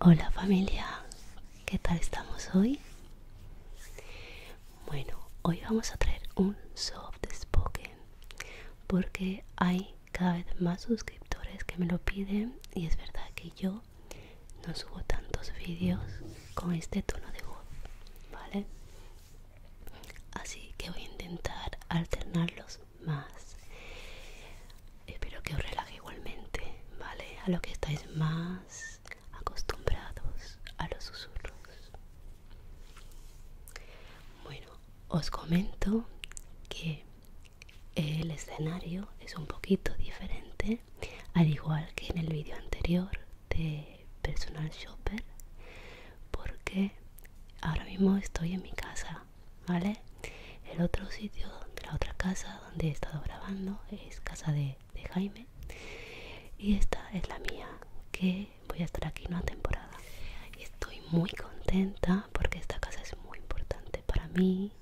Hola familia, ¿Qué tal estamos hoy? Bueno, hoy vamos a traer un soft spoken porque hay cada vez más suscriptores que me lo piden y es verdad que yo no subo tantos vídeos con este tono de voz, ¿vale? Así que voy a intentar alternarlos más. Espero que os relaje igualmente, ¿vale? A lo que estáis más acostumbrados a los susurros. Bueno, os comento que el escenario es un poquito diferente, al igual que en el vídeo anterior de Personal Shopper, porque ahora mismo estoy en mi casa, ¿vale? El otro sitio, de la otra casa donde he estado grabando es casa de Jaime y esta es la mía, que voy a estar aquí una temporada. Estoy muy contenta porque esta casa es muy importante para mí,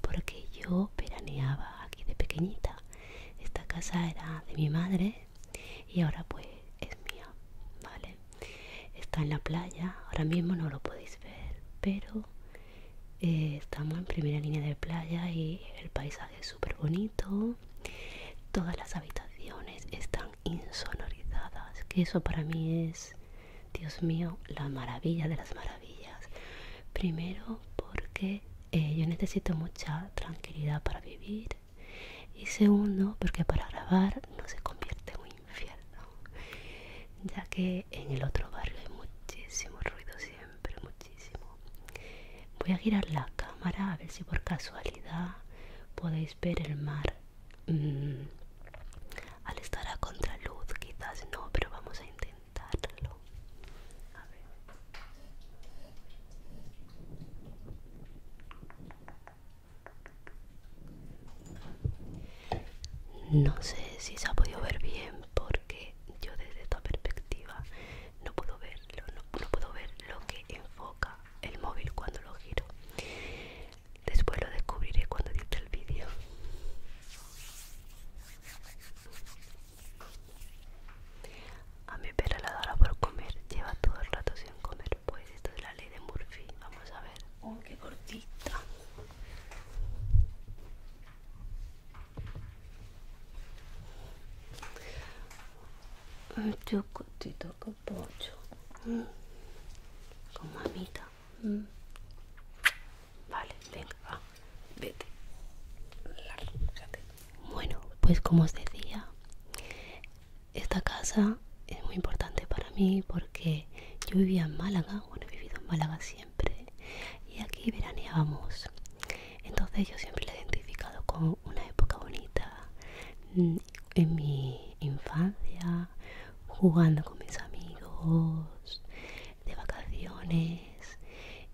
porque yo peraneaba aquí de pequeñita. Esta casa era de mi madre y ahora pues es mía, ¿vale? Está en la playa, ahora mismo no lo podéis ver, pero eh, estamos en primera línea de playa y el paisaje es súper bonito todas las habitaciones están insonorizadas que eso para mí es dios mío la maravilla de las maravillas primero porque eh, yo necesito mucha tranquilidad para vivir y segundo porque para grabar no se convierte en un infierno ya que en el otro barrio hay muchísimo ruido siempre pero muchísimo voy a girar la cámara a ver si por casualidad podéis ver el mar mm, al estar a contraluz quizás no pero vamos a intentarlo a ver no sé si se ha podido ver bien porque yo desde esta perspectiva no puedo verlo, no, puedo ver lo que enfoca el móvil cuando lo giro. Después lo descubriré cuando edite el vídeo. A mi perra la adora por comer, lleva todo el rato sin comer. Pues esto es la ley de Murphy. Vamos a ver. Oh, qué cortita. Chocotito con pocho. Mm. Con mamita. Mm. Vale, venga, Vete. Bueno, pues como os decía, esta casa es muy importante para mí porque yo vivía en Málaga, bueno, he vivido en Málaga siempre, y aquí veraneábamos. Entonces yo siempre la he identificado con una época bonita mm, en mi infancia, jugando con mis amigos, de vacaciones.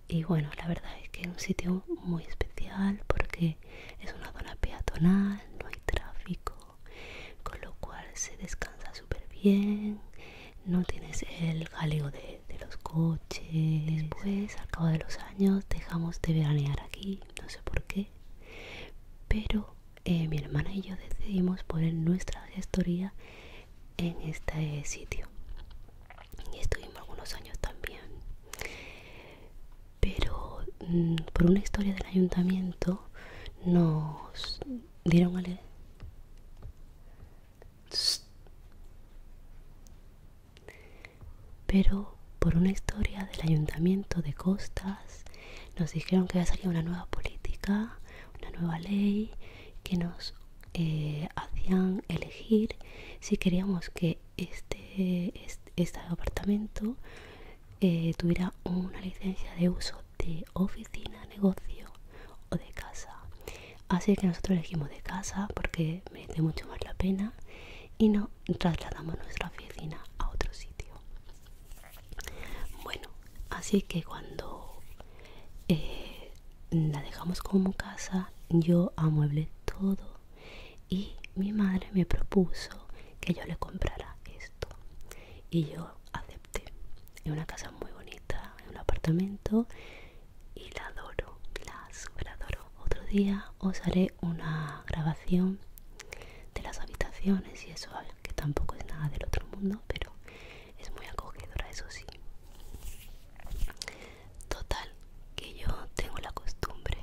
Y bueno, la verdad es que es un sitio muy especial porque es una zona peatonal, no hay tráfico, con lo cual se descansa súper bien, no tienes el galeo de de, los coches. Después, pues, al cabo de los años, dejamos de veranear aquí, no sé por qué. Pero eh, mi hermana y yo decidimos poner nuestra gestoría en este sitio. Y estuvimos algunos años también. Pero mm, por una historia del ayuntamiento nos dieron al... Pero por una historia del ayuntamiento de Costas nos dijeron que había salido una nueva política, una nueva ley que nos eh, hacían elegir si queríamos que este, este, este apartamento eh, tuviera una licencia de uso de oficina, negocio o de casa. Así que nosotros elegimos de casa porque merece mucho más la pena y no trasladamos nuestra oficina a otro sitio. Bueno, así que cuando eh, la dejamos como casa, yo amueblé todo y mi madre me propuso que yo le comprara esto. Y yo acepté. Es una casa muy bonita, es un apartamento y la adoro, la adoro Otro día os haré una grabación de las habitaciones y eso, eh, que tampoco es nada del otro mundo, pero es muy acogedora, eso sí. Total, que yo tengo la costumbre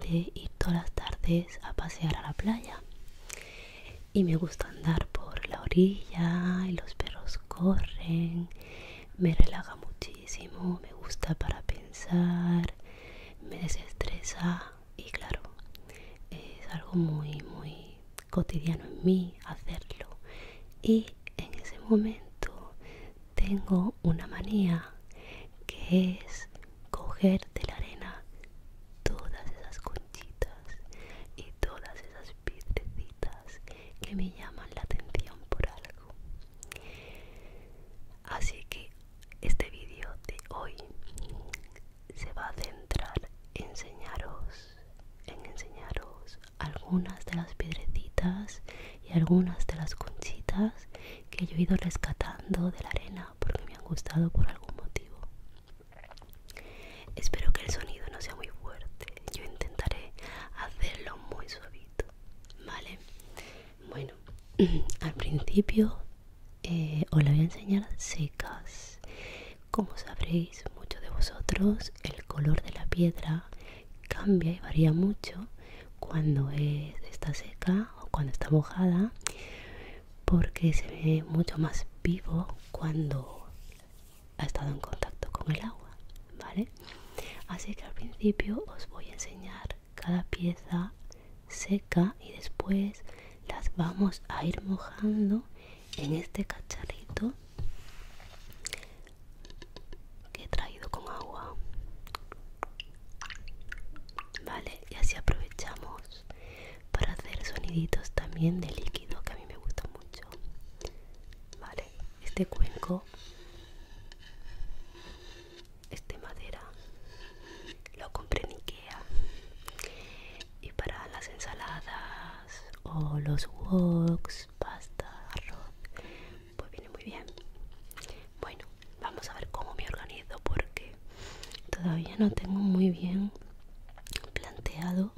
de ir todas las tardes a pasear a la playa y me gusta andar por la orilla y los perros corren, me relaja muchísimo me gusta para pensar, me desestresa y claro, es algo muy, muy cotidiano en mí hacerlo. Y en ese momento tengo una manía que es coger de la arena todas esas conchitas y todas esas piedrecitas que me llaman la atención por algo. Así que este vídeo de hoy se va a centrar en enseñaros, en enseñaros algunas de las piedrecitas y algunas de las conchitas que yo he ido rescatando de la arena porque me han gustado por algún motivo. Espero que el sonido no sea muy fuerte, yo intentaré hacerlo muy suave vale bueno al principio eh, os la voy a enseñar secas como sabréis muchos de vosotros el color de la piedra cambia y varía mucho cuando está seca o cuando está mojada porque se ve mucho más vivo cuando ha estado en contacto con el agua, ¿vale? así que al principio os voy a enseñar cada pieza seca y después las vamos a ir mojando en este cacharrito que he traído con agua vale y así aprovechamos para hacer soniditos también de líquido que a mí me gusta mucho vale este, este cuenco, este madera, lo compré en Ikea. Y para las ensaladas o los woks, pasta, arroz, pues viene muy bien. Bueno, vamos a ver cómo me organizo porque todavía no tengo muy bien planteado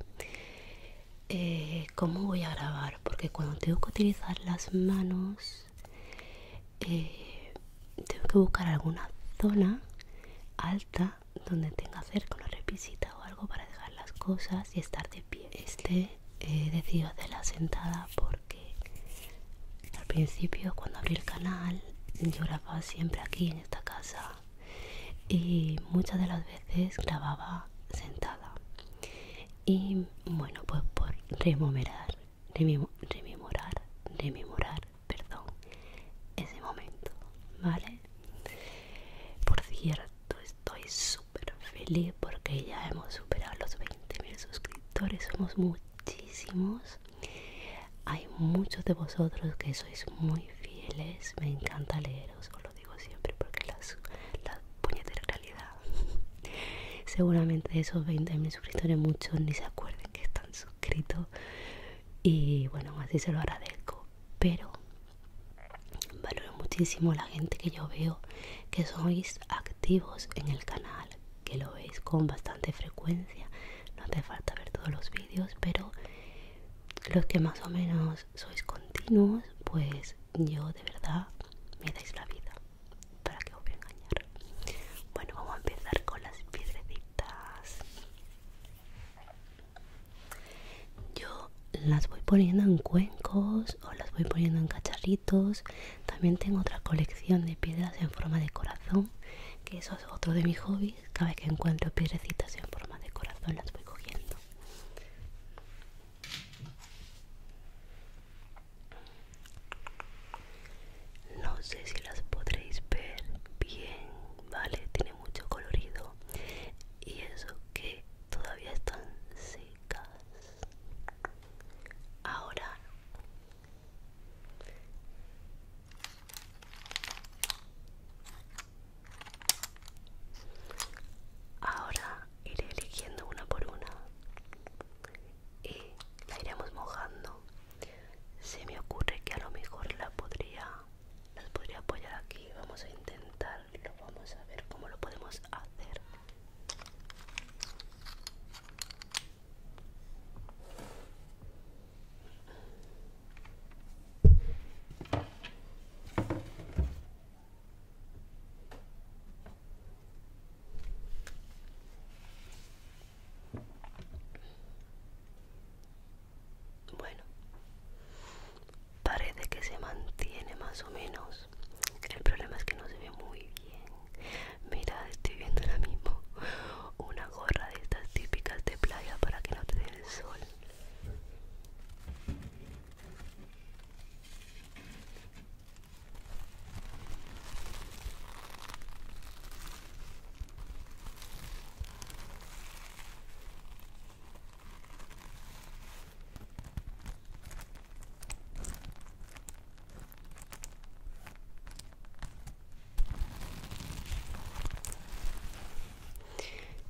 eh, cómo voy a grabar porque cuando tengo que utilizar las manos eh, tengo que buscar alguna zona alta donde tenga cerca una repisita o algo para dejar las cosas y estar de pie este he de decidido hacerla sentada porque al principio cuando abrí el canal yo grababa siempre aquí en esta casa y muchas de las veces grababa sentada y bueno, pues por rememorar, rememorar, rememorar, perdón, ese momento, ¿vale? Por cierto, estoy súper feliz porque ya hemos superado los 20.000 suscriptores, somos muchísimos. Hay muchos de vosotros que sois muy fieles, me encanta leeros, os lo digo siempre porque las, las puñeteras Seguramente esos esos 20.000 suscriptores muchos ni se acuerden que están suscritos. Y bueno, así se lo agradezco. Pero valoro muchísimo la gente que yo veo que sois activos en el canal, que lo veis con bastante frecuencia. No hace falta ver todos los vídeos, pero los que más o menos sois continuos, pues yo de verdad me dais la vida. ¿Para que os voy a engañar? Bueno, vamos a empezar con las piedrecitas. Yo las voy poniendo en cuencos o las voy poniendo en cacharritos. También tengo otra colección de piedras en forma de corazón, que eso es otro de mis hobbies. Cada vez que encuentro piedrecitas en forma de corazón las voy cogiendo. No sé si las podréis ver bien, ¿vale? Tiene mucho colorido. Y eso que todavía están secas. Ahora Ahora iré eligiendo una por una y la iremos mojando se me ocurre que a lo mejor la podría las podría apoyar aquí vamos a intentarlo vamos a ver cómo lo podemos hacer bueno, parece que se mantiene más o menos. El problema es que no se ve muy bien. Mira, estoy viendo ahora mismo una gorra de estas típicas de playa para que no te dé el sol.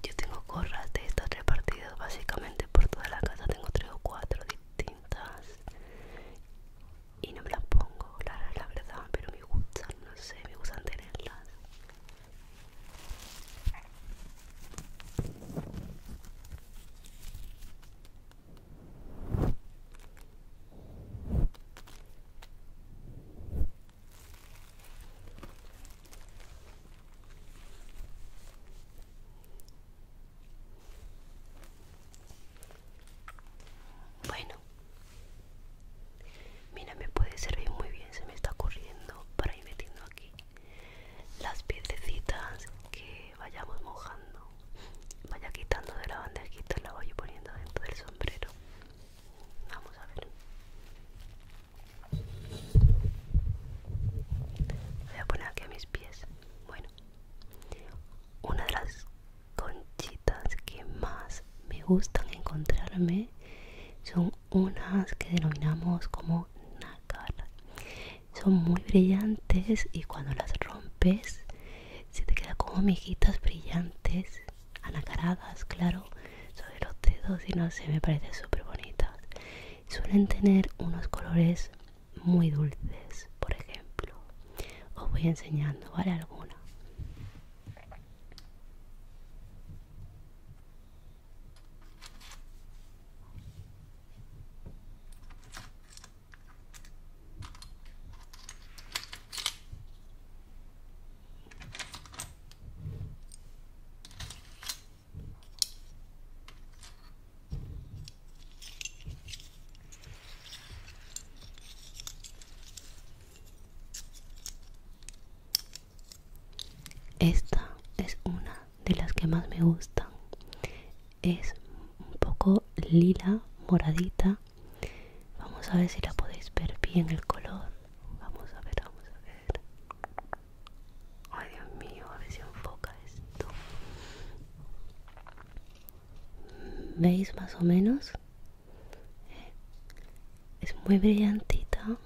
Yo tengo corras de estas repartidas básicamente por toda la casa, tengo tres o cuatro distintas y no me las pongo, la, verdad, pero me gustan, no sé, me gustan tenerlas. Bueno, mira, me puede servir muy bien, se me está ocurriendo para ir metiendo aquí las piececitas que vayamos mojando. Vaya quitando de la bandejita, la voy poniendo dentro del sombrero. Vamos a ver. Voy a poner aquí a mis pies. Bueno, una de las conchitas que más me gustan encontrarme son unas que denominamos como nácar son muy brillantes y cuando las rompes se te quedan como miguitas brillantes anacaradas claro sobre los dedos y no sé me parecen súper bonitas suelen tener unos colores muy dulces, por ejemplo. Os voy enseñando, ¿vale? Alguna. Esta es una de las que más me gustan. Es un poco lila, moradita. Vamos a ver si la podéis ver bien el color. Vamos a ver, vamos a ver. Ay, Dios mío, a ver si enfoca esto veis más o menos es muy brillantita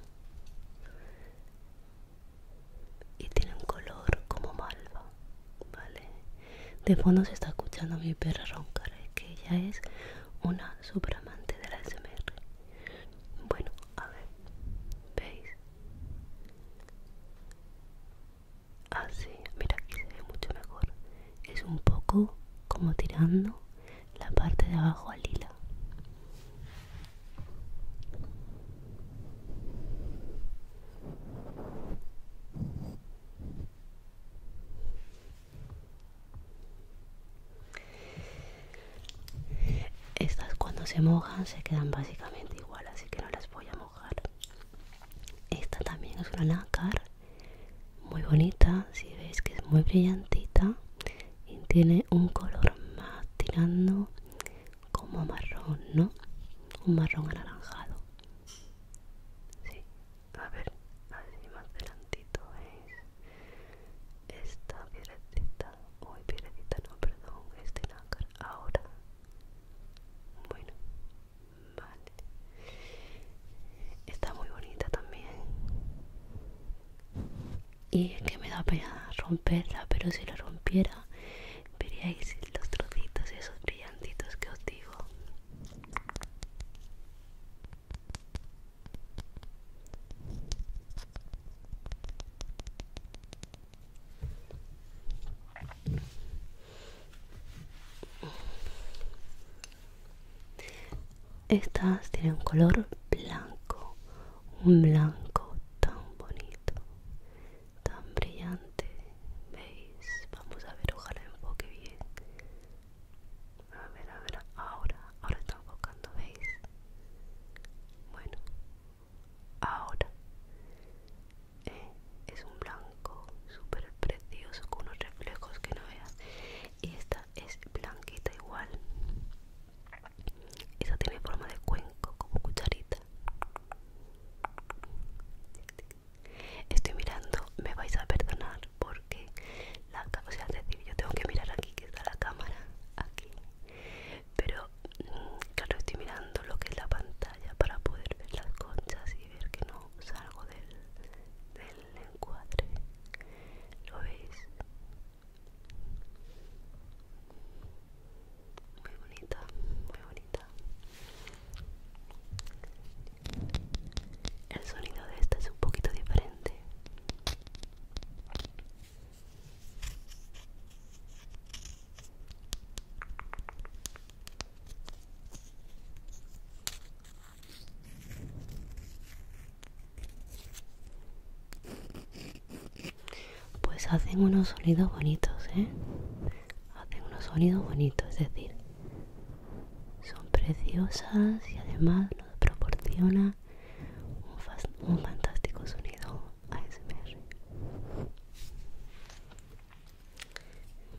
y tiene un color como malva vale de fondo se está escuchando mi perra roncar que ella es una amante de la SMR bueno a ver veis así ah, mira aquí se ve mucho mejor es un poco como tirando la parte de abajo al lila estas cuando se mojan se quedan básicamente igual así que no las voy a mojar esta también es una nácar muy bonita si veis que es muy brillantita y tiene un color más tirando como marrón no un marrón anaranjado sí. a ver así más delantito veis esta piedrecita uy piedrecita no perdón este nácar ahora bueno Está muy bonita también. Y es que me da pena romperla, pero si la rompiera, veríais los trocitos, esos brillantitos que os digo. Estas tienen un color blanco, un blanco tan bonito, tan brillante. ¿Veis? Vamos a ver, ojalá enfoque bien. A ver, a ver, ahora, ahora está enfocando, ¿veis? Bueno, ahora eh, es un blanco súper precioso con unos reflejos que no veas y esta es blanquita igual esta tiene forma de cuenco como cucharita estoy mirando me vais a perdonar porque la cámara yo tengo que mirar aquí que está la cámara aquí pero mm, claro estoy mirando lo que es la pantalla para poder ver las conchas y ver que no salgo del, del encuadre lo veis muy bonita muy bonita el sonido de esta es un poquito diferente pues hacen unos sonidos bonitos, ¿eh? Hacen unos sonidos bonitos, es decir, son preciosas y además nos proporciona un, un fantástico sonido ASMR.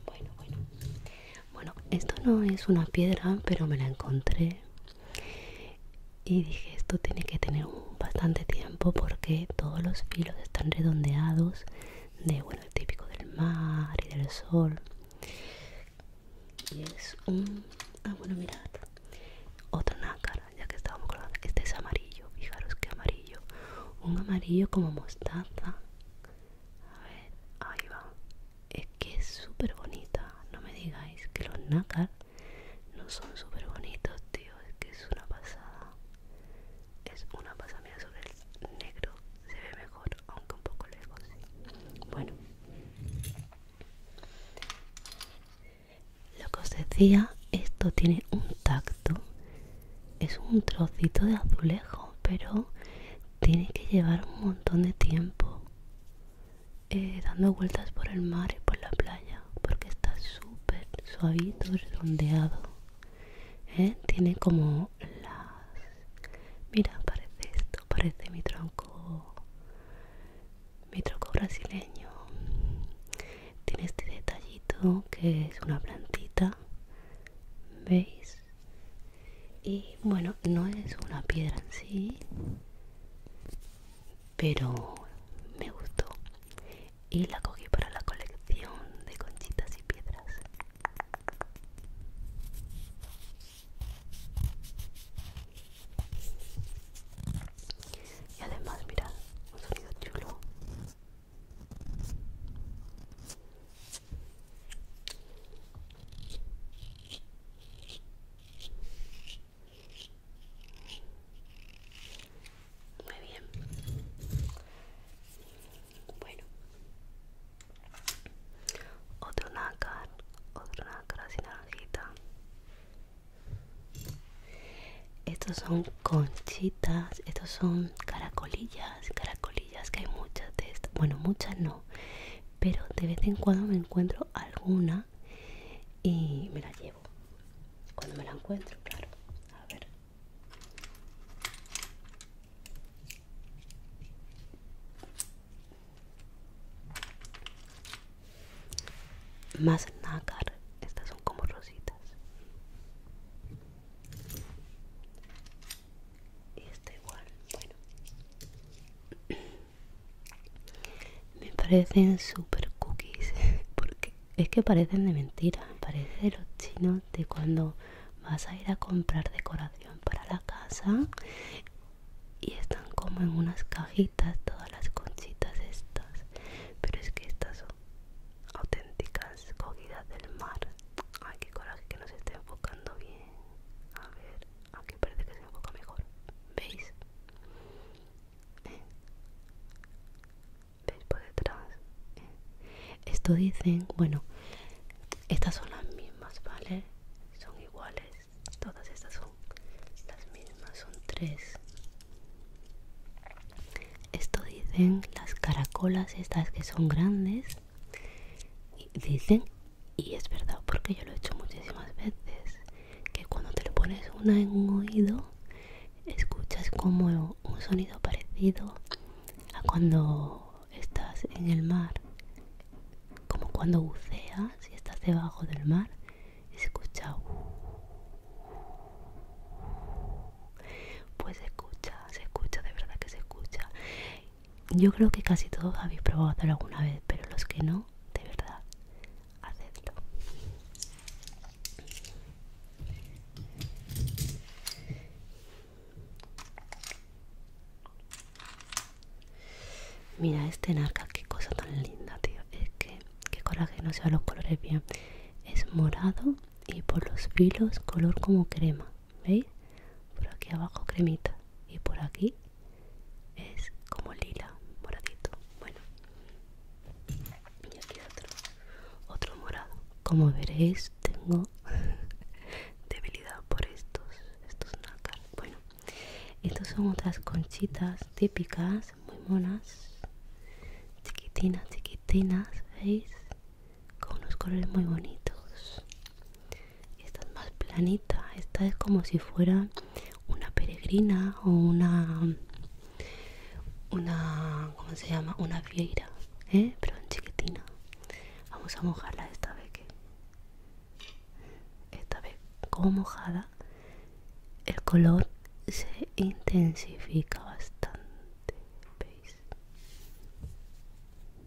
Bueno, bueno. Bueno, esto no es una piedra, pero me la encontré. Y dije, esto tiene que tener bastante tiempo porque todos los filos están redondeados de, bueno, el típico del mar y del sol. Y es un... Ah, bueno, mirad. Otra nácar ya que estábamos Este es amarillo, fijaros que amarillo. Un amarillo como mostaza. A ver, ahí va. Es que es súper bonita. No me digáis que los nácar no son súper bonitos, tío. Es que es una pasada. Es una pasada. Mira, sobre el negro se ve mejor, aunque un poco lejos. Bueno. Lo que os decía, esto tiene un tacto. Es un trocito de azulejo, pero tiene que llevar un montón de tiempo eh, dando vueltas por el mar y por la playa porque está súper suavito redondeado ¿eh? tiene como las mira parece esto parece mi tronco mi tronco brasileño tiene este detallito que es una plantita veis y bueno no es una piedra en sí pero me gustó y la cogí para la colección de conchitas y piedras y además mirad un sonido chulo muy bien. Bueno. Otro nácar, otro nácar así naranjita. Estos son conchitas, estos son caracolillas, caracolillas que hay muchas de estas. Bueno, muchas no, pero de vez en cuando me encuentro alguna y me la llevo cuando me la encuentro claro a ver más nácar estas son como rositas y está igual bueno me parecen super cookies porque es que parecen de mentira parecen los chinos de cuando vas a ir a comprar decoración para la casa y están como en unas cajitas todas las conchitas estas pero es que estas son auténticas cogidas del mar ay que coraje que no se esté enfocando bien a ver, aquí parece que se enfoca mejor, ¿veis? ¿Veis por detrás? Esto dicen, bueno, estas son las mismas, ¿vale? Son iguales, todas estas son las mismas, son tres. Esto dicen las caracolas estas que son grandes y dicen, y es verdad, porque yo lo he hecho muchísimas veces, que cuando te le pones una en un oído, escuchas como un sonido parecido a cuando estás en el mar, como cuando buceas y estás debajo del mar, se escucha. Pues se escucha, se escucha, de verdad que se escucha. Yo creo que casi todos habéis probado hacerlo alguna vez, pero los que no, de verdad, hacedlo. Mira este narca, qué cosa tan linda, tío. Es que, qué coraje no no sea los colores bien. Es morado y por los filos color como crema. ¿veis? Por aquí abajo cremita y por aquí es como lila, moradito. Bueno, y aquí otro, otro morado. Como veréis, tengo debilidad por estos, estos nácar. Bueno, estas son otras conchitas típicas, muy monas, chiquitinas, chiquitinas, ¿veis? Con unos colores muy bonitos. Esta es más planita, esta es como si fuera una peregrina o una una ¿cómo se llama? una vieira, ¿eh? pero en chiquitina. Vamos a mojarla esta vez esta vez como mojada el color se intensifica bastante. ¿Veis?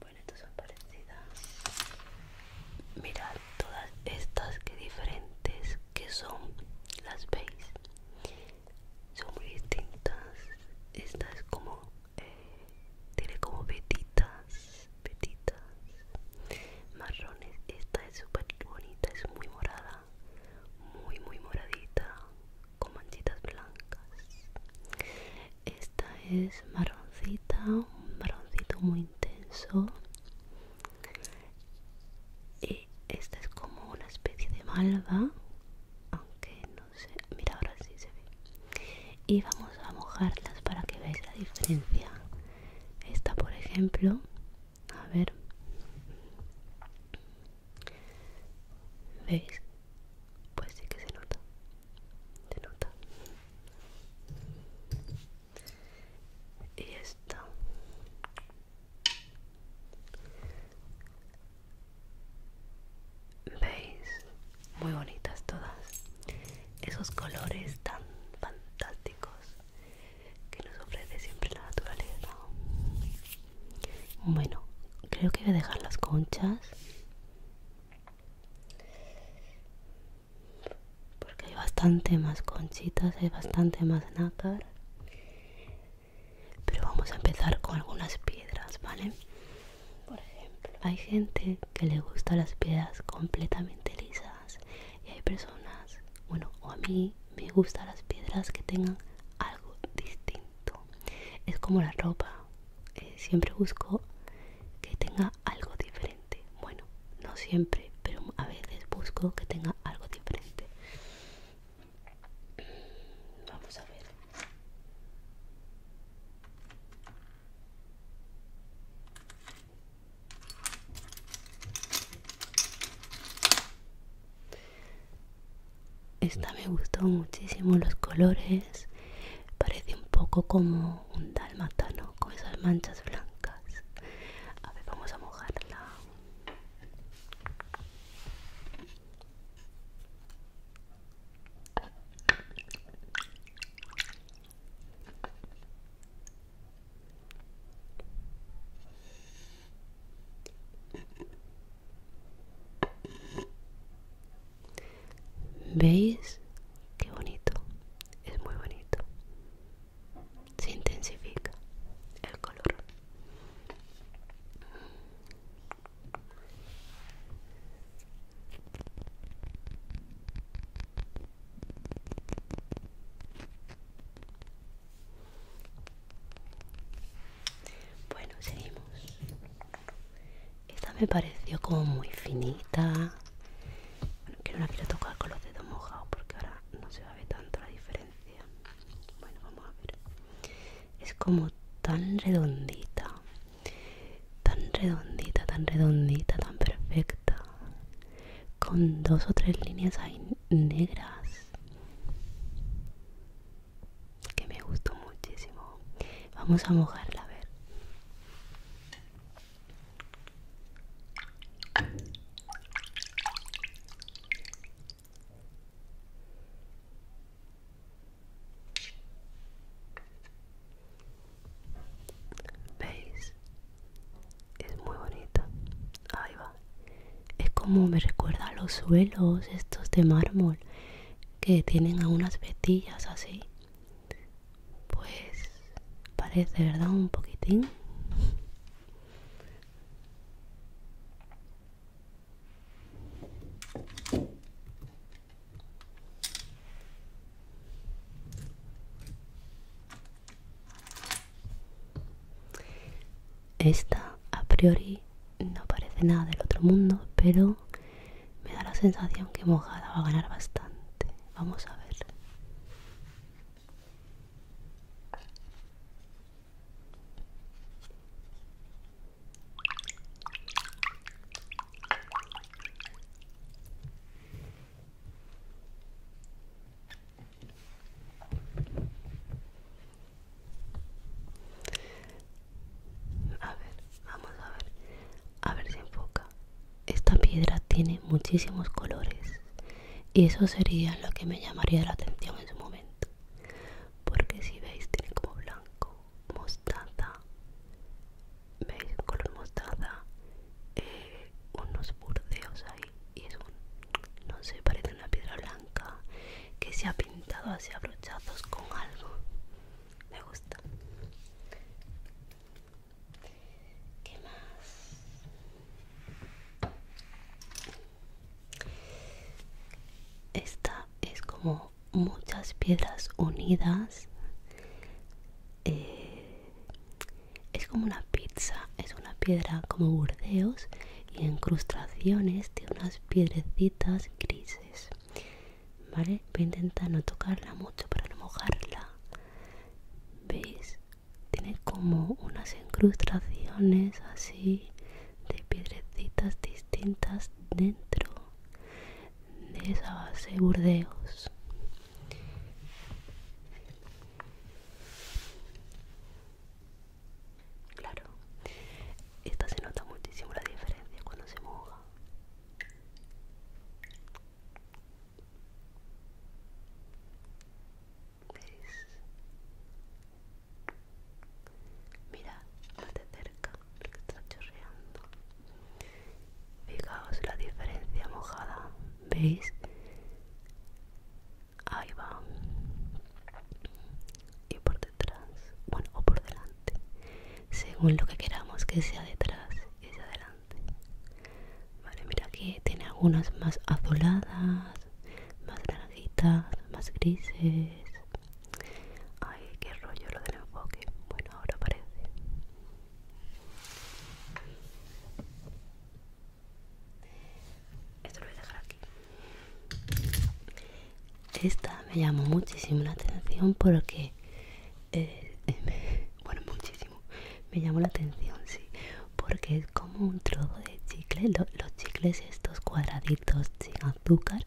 Bueno, estas son parecidas. Mirad todas estas que diferentes que son, las veis. Son muy distintas. Esta es como eh, tiene como vetitas, petitas marrones. Esta es súper bonita, es muy morada muy muy moradita, con manchitas blancas. Esta es marroncita, un marroncito muy intenso. Y esta es como una especie de malva, aunque no sé, mira ahora sí se ve. Y vamos a mojarlas para que veáis la diferencia. Esta, por ejemplo, a ver veis pues sí que se nota se nota y esta veis muy bonitas todas esos colores tan fantásticos que nos ofrece siempre la naturaleza. Bueno, creo que voy a dejar las conchas. Porque hay bastante más conchitas, hay bastante más nácar. Pero vamos a empezar con algunas piedras, ¿vale? Por ejemplo, hay gente que le gusta las piedras completamente lisas y hay personas bueno, o a mí me gustan las piedras que tengan algo distinto. Es como la ropa, eh, siempre busco que tenga algo diferente. Bueno, no siempre, pero a veces busco que tenga algo diferente. Mm, vamos a ver. Esta me gustó muchísimo los colores. Parece un poco como un ¿no? con esas manchas blancas. A ver, vamos a mojarla. ¿Veis? Qué bonito, es muy bonito. Se intensifica el color. Bueno, seguimos. Esta me pareció como muy finita. Bueno, que no la quiero tocar con los dedos mojados porque ahora no se va a ver tanto la diferencia. Bueno, vamos a ver. Es como tan redondita. Tan redondita, tan redondita, tan perfecta. Con dos o tres líneas ahí negras que me gustó muchísimo vamos a mojarla a ver veis es muy bonita es como me recuerda a los suelos estos de mármol que tienen algunas unas vetillas así pues parece verdad un poquitín esta a priori no parece nada del otro mundo, pero me da la sensación que mojada va a ganar bastante. Vamos a ver. A ver, vamos a ver. A ver si enfoca. Esta piedra tiene muchísimos colores. Y eso sería lo que me llamaría la atención en su momento. Porque si veis, tiene como blanco, mostaza. ¿Veis? color mostaza. Eh, unos burdeos ahí. Y es un. No sé, parece una piedra blanca que se ha pintado así a brochazos con algo. Me gusta. ¿Qué más? Esta es como muchas piedras unidas. Eh, es como una pizza, es una piedra como burdeos y encrustaciones de unas piedrecitas grises. ¿Vale? Voy a intentar no tocarla mucho para no mojarla. ¿Veis? Tiene como unas encrustaciones así de piedrecitas distintas dentro de esa base burdeos. Claro, esta se nota muchísimo la diferencia cuando se moja. ¿Veis? Mira, más de cerca, lo que está chorreando. Fijaos la diferencia mojada, ¿veis? ahí va y por detrás bueno o por delante según lo que queramos que sea detrás y adelante vale mira que tiene algunas más azuladas más naranjitas más grises ay qué rollo lo del enfoque bueno ahora parece esto lo voy a dejar aquí. Esta me llamó muchísimo la atención porque. Eh, bueno, muchísimo. Me llamó la atención, sí. Porque es como un trozo de chicle. los chicles, estos cuadraditos sin azúcar,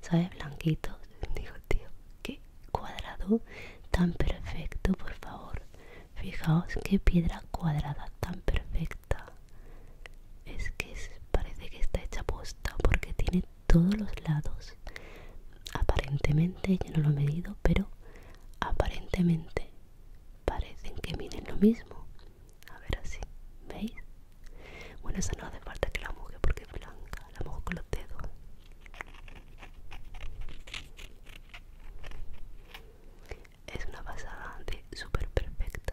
¿sabes? Blanquitos. Digo, tío, qué cuadrado tan perfecto, por favor. Fijaos qué piedra cuadrada tan perfecta. Es que es parece que está hecha posta porque tiene todos los lados aparentemente yo no lo he medido pero aparentemente parecen que miden lo mismo a ver así veis bueno esa no hace falta que la moje porque es blanca la mojo con los dedos es una pasada de súper perfecta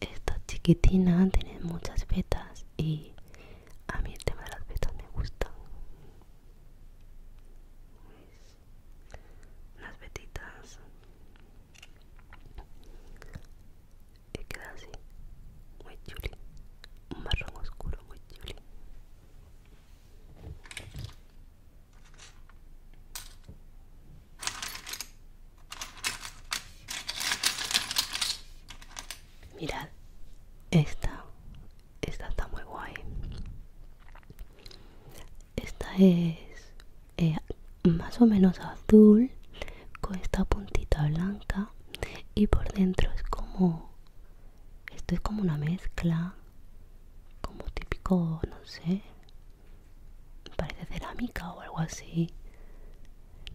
esta chiquitina tiene muchas vetas y a mí el este tema de las vetas me gusta las vetitas y queda así muy chuli un marrón oscuro muy chuli mirad esta esta está muy guay esta es eh, más o menos azul con esta puntita blanca y por dentro es como esto es como una mezcla como típico no sé parece cerámica o algo así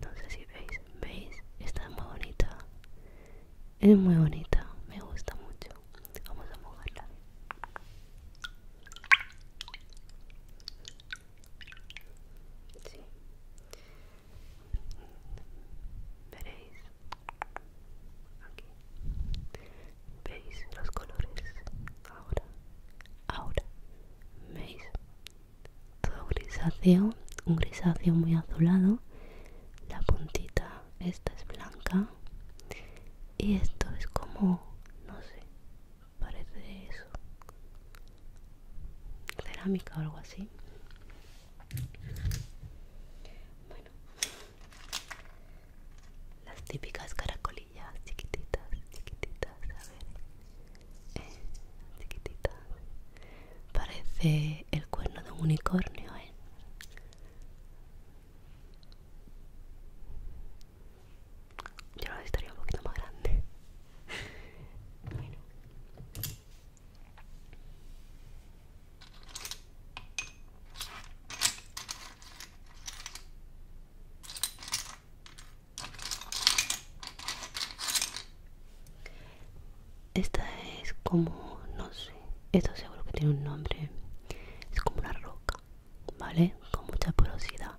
no sé si veis veis está muy bonita es muy bonita me gusta mucho vamos a mojarla sí veréis aquí veis los colores ahora ahora veis todo grisáceo un grisáceo muy azulado la puntita esta es blanca y esto es como, no sé, parece eso. Cerámica o algo así. Bueno. Las típicas caracolillas chiquititas, chiquititas, a ver. Eh, chiquititas. Parece el cuerno de un unicornio, ¿eh? Yo lo estaría un poquito más grande. Esta es como, no sé, esto seguro que tiene un nombre. Es como una roca. ¿vale? Con mucha porosidad,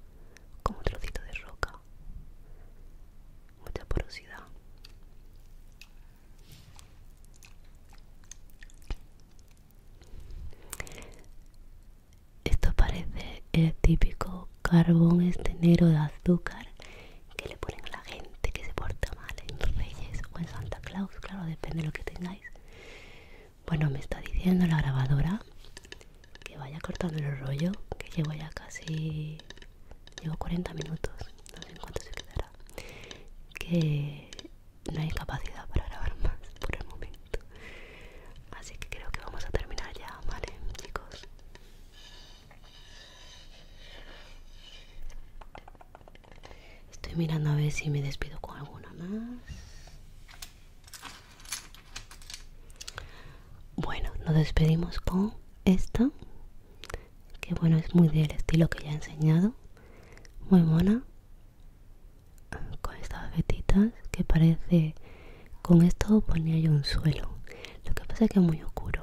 con un trocito de roca. Mucha porosidad. Esto parece el típico carbón este negro de azúcar que le ponen a la gente que se porta mal en Reyes o en Santa Claus, claro, depende de lo que tengáis. Bueno, pues me está diciendo la grabadora que vaya cortando el rollo, que llevo ya casi... Llevo 40 minutos, no sé en cuánto se quedará. Que no hay capacidad para grabar más por el momento. Así que creo que vamos a terminar ya, ¿vale, chicos? Estoy mirando a ver si me despido con alguna más. Bueno, nos despedimos con esta, que bueno, es muy del estilo que ya he enseñado, muy mona, con estas vetitas que parece, con esto ponía yo un suelo, lo que pasa es que es muy oscuro,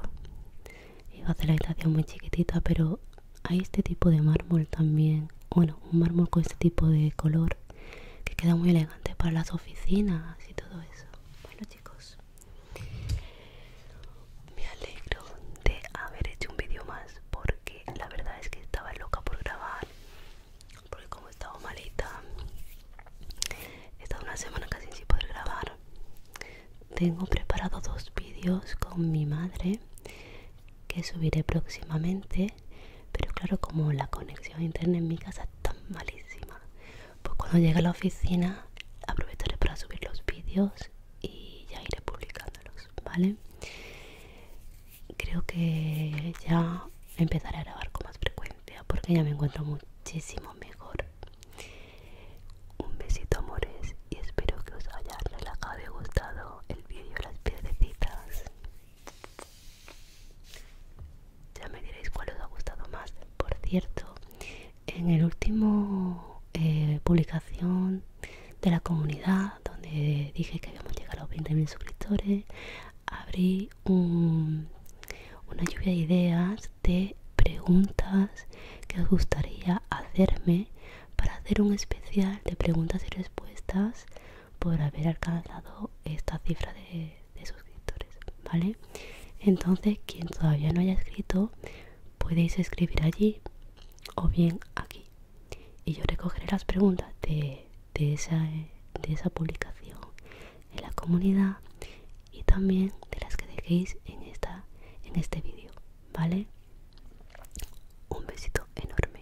va a hacer la habitación muy chiquitita, pero hay este tipo de mármol también, bueno, un mármol con este tipo de color que queda muy elegante para las oficinas y todo eso bueno chicos me alegro de haber hecho un vídeo más porque la verdad es que estaba loca por grabar porque como he estado malita he estado una semana casi sin poder grabar tengo preparado dos vídeos con mi madre que subiré próximamente pero claro como la conexión a internet en mi casa es tan malísima pues cuando llegue a la oficina aprovecharé para subir los vídeos y ya iré publicándolos vale creo que ya empezaré a grabar con más frecuencia porque ya me encuentro muchísimo mejor un besito amores y espero que os haya relajado y gustado el vídeo las piedrecitas ya me diréis cuál os ha gustado más. Por cierto, en el último eh, publicación de la comunidad, donde dije que habíamos llegado a los 20.000 suscriptores, abrí una lluvia de ideas de preguntas que os gustaría hacerme para hacer un especial de preguntas y respuestas por haber alcanzado esta cifra de, suscriptores, ¿vale? Entonces, quien todavía no haya escrito, podéis escribir allí o bien aquí. Y yo recogeré las preguntas de, de, esa, de esa publicación en la comunidad y también de las que dejéis en, esta, en este vídeo, ¿vale? Un besito enorme.